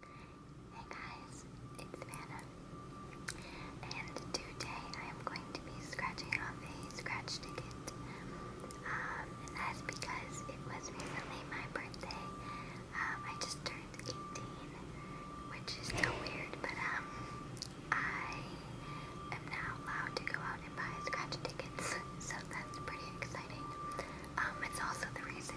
Hey guys, it's Vanna, and today I am going to be scratching off a scratch ticket, um, and that's because it was recently my birthday. Um, I just turned 18, which is so weird, but um, I am now allowed to go out and buy scratch tickets, so that's pretty exciting. Um, it's also the reason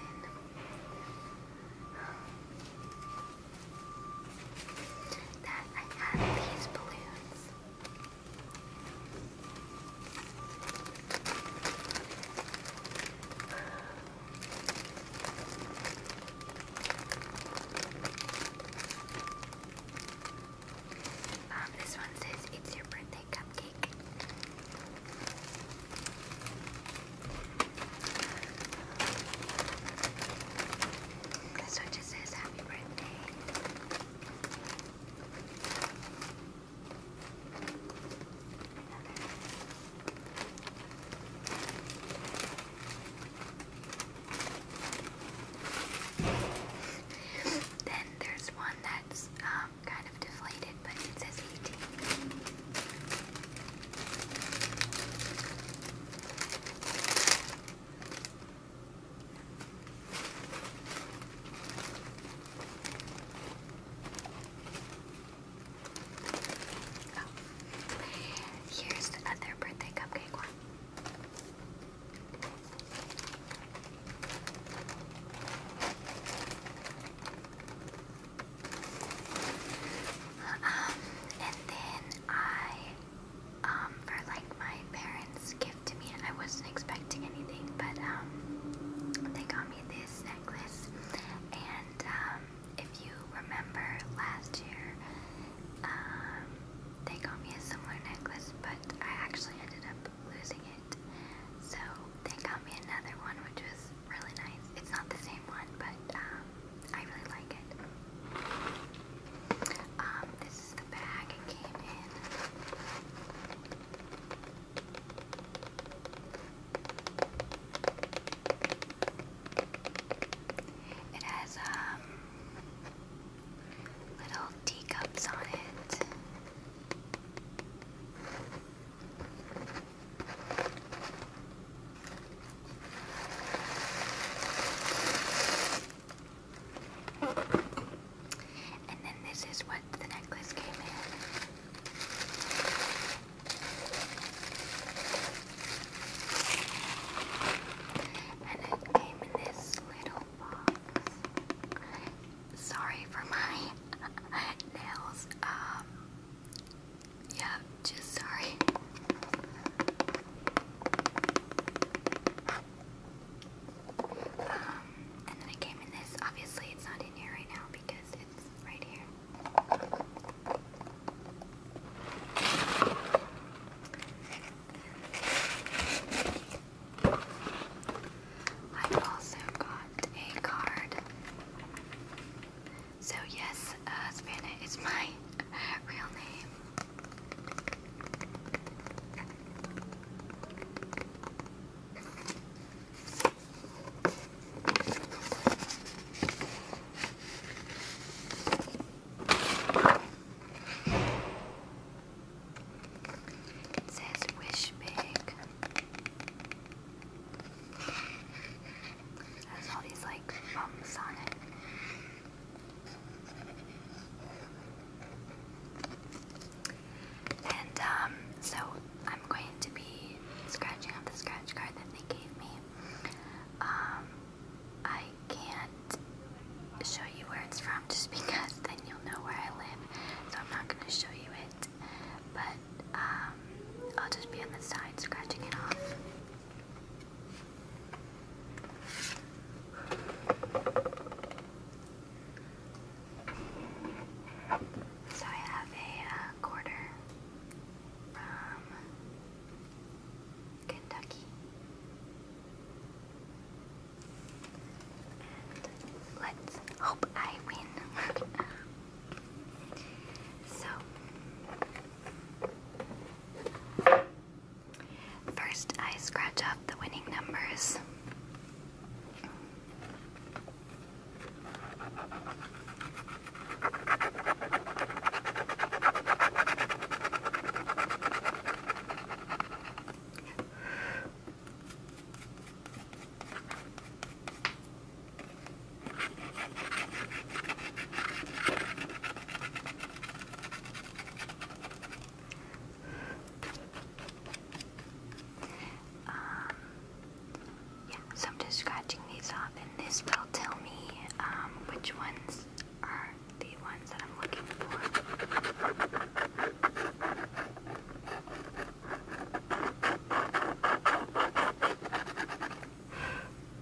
that I have these balloons. Um, this one says it's your birthday cupcake. This one just says happy birthday. then there's one that's um, kind of deflated it, but Here's the other birthday cupcake one. Um, and then I, um, for like my parents' gift to me, I wasn't expecting anything, but um, they got me this necklace. And um, if you remember last year, um, they got me a similar necklace, but I actually ended up losing it. So they got me another one, which was really nice. It's not the same one, but um, I really like it. Um, this is the bag it came in. It has um, little teacups on it. And then this is what the necklace came in. And it came this little box. Sorry for my nails. Um yeah, just sorry. Um, and then it came in this. Obviously, it's not in here right now because it's right here. I also got a card so yes, uh, Savannah is my real name. says wish big. There's all these like bumps on it. And um, so I'm going to be scratching off the scratch card that they gave me. Um, I can't show you where it's from just because then you'll know where I live. So I'm not going to show you it. But um, I'll just be on the side scratching it off. So I have a uh, quarter from Kentucky. And let's hope I win. So, first I scratch off the winning numbers. Um, yeah, so I'm just scratching these off, and this will tell me um, which ones are the ones that I'm looking for.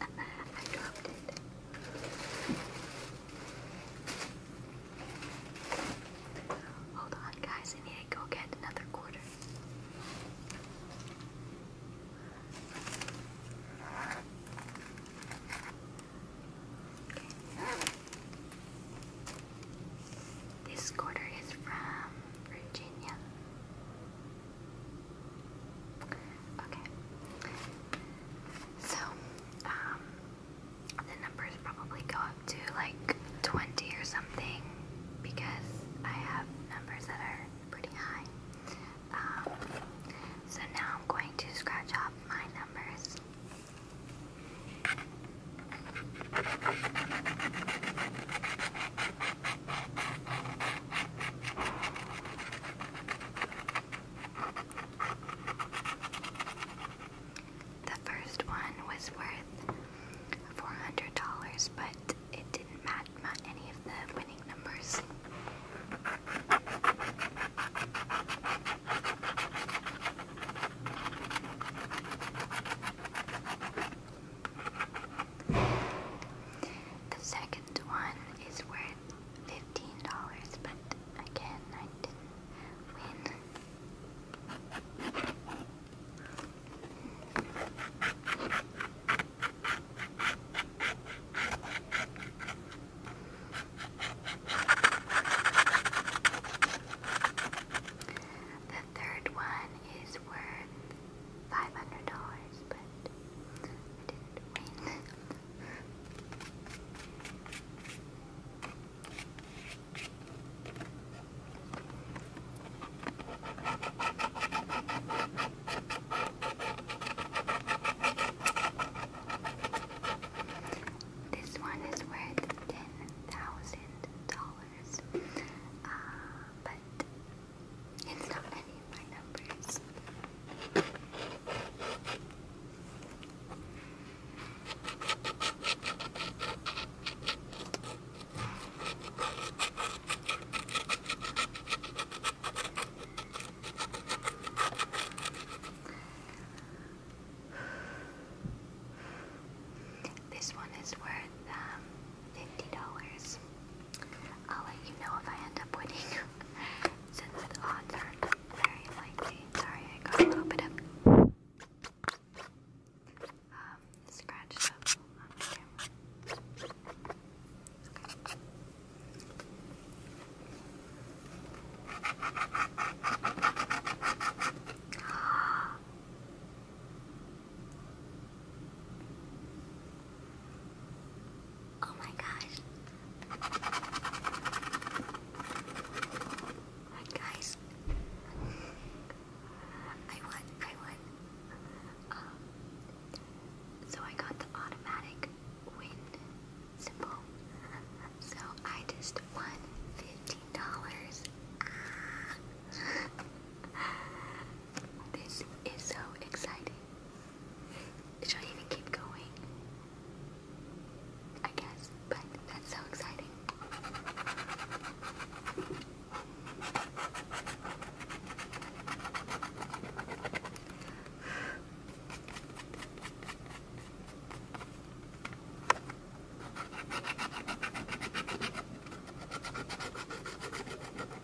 I dropped it. Hold on, guys. I need to go get another quarter. This quarter is from Virginia. Okay. So, um, the numbers probably go up to like 20 or something because I have numbers that are pretty high. Um, so now I'm going to scratch off my numbers. The first one was worth $400, but it didn't match any of the winning numbers. The second one is worth fifteen dollars, but again I didn't win. The third one is worth five hundred dollars, but I didn't win. This one is worth ten thousand dollars, uh, but it's not any of my numbers. This one is worth um, $50. I'll let you know if I end up winning, since odds are very likely. Sorry, I got a little bit of um, Oh my gosh. Alright guys. I won, I won. Um, so I got the automatic win symbol. So I just won $15. This is so exciting. Should even keep going? I guess, but that's so exciting.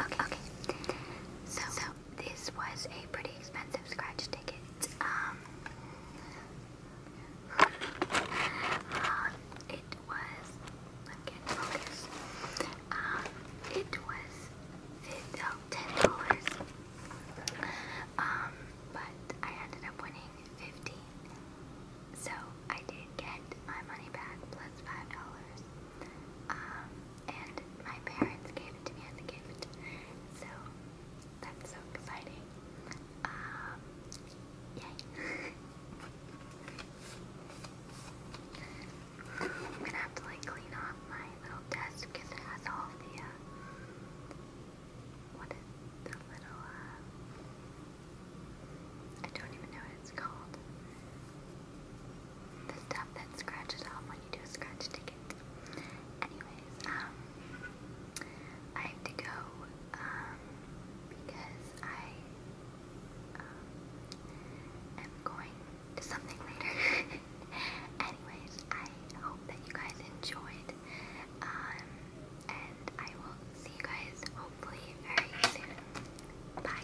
Okay, So, this was a pretty expensive scratch ticket. Um, um it was I'm getting Um, it was $10. Um, but I ended up winning 15. So I did get my money back plus five dollars. Um, and my parents gave it to me as a gift. So that's so exciting. Um, yay. I'm gonna have to like clean off my little desk it has all the, uh, what is the little, uh, I don't even know what it's called. The stuff that scratches off when you do a scratch ticket. Anyways, um, I have to go, um, because I, um, am going to something later. anyways, I hope that you guys enjoyed. Um, and I will see you guys hopefully very soon. Bye.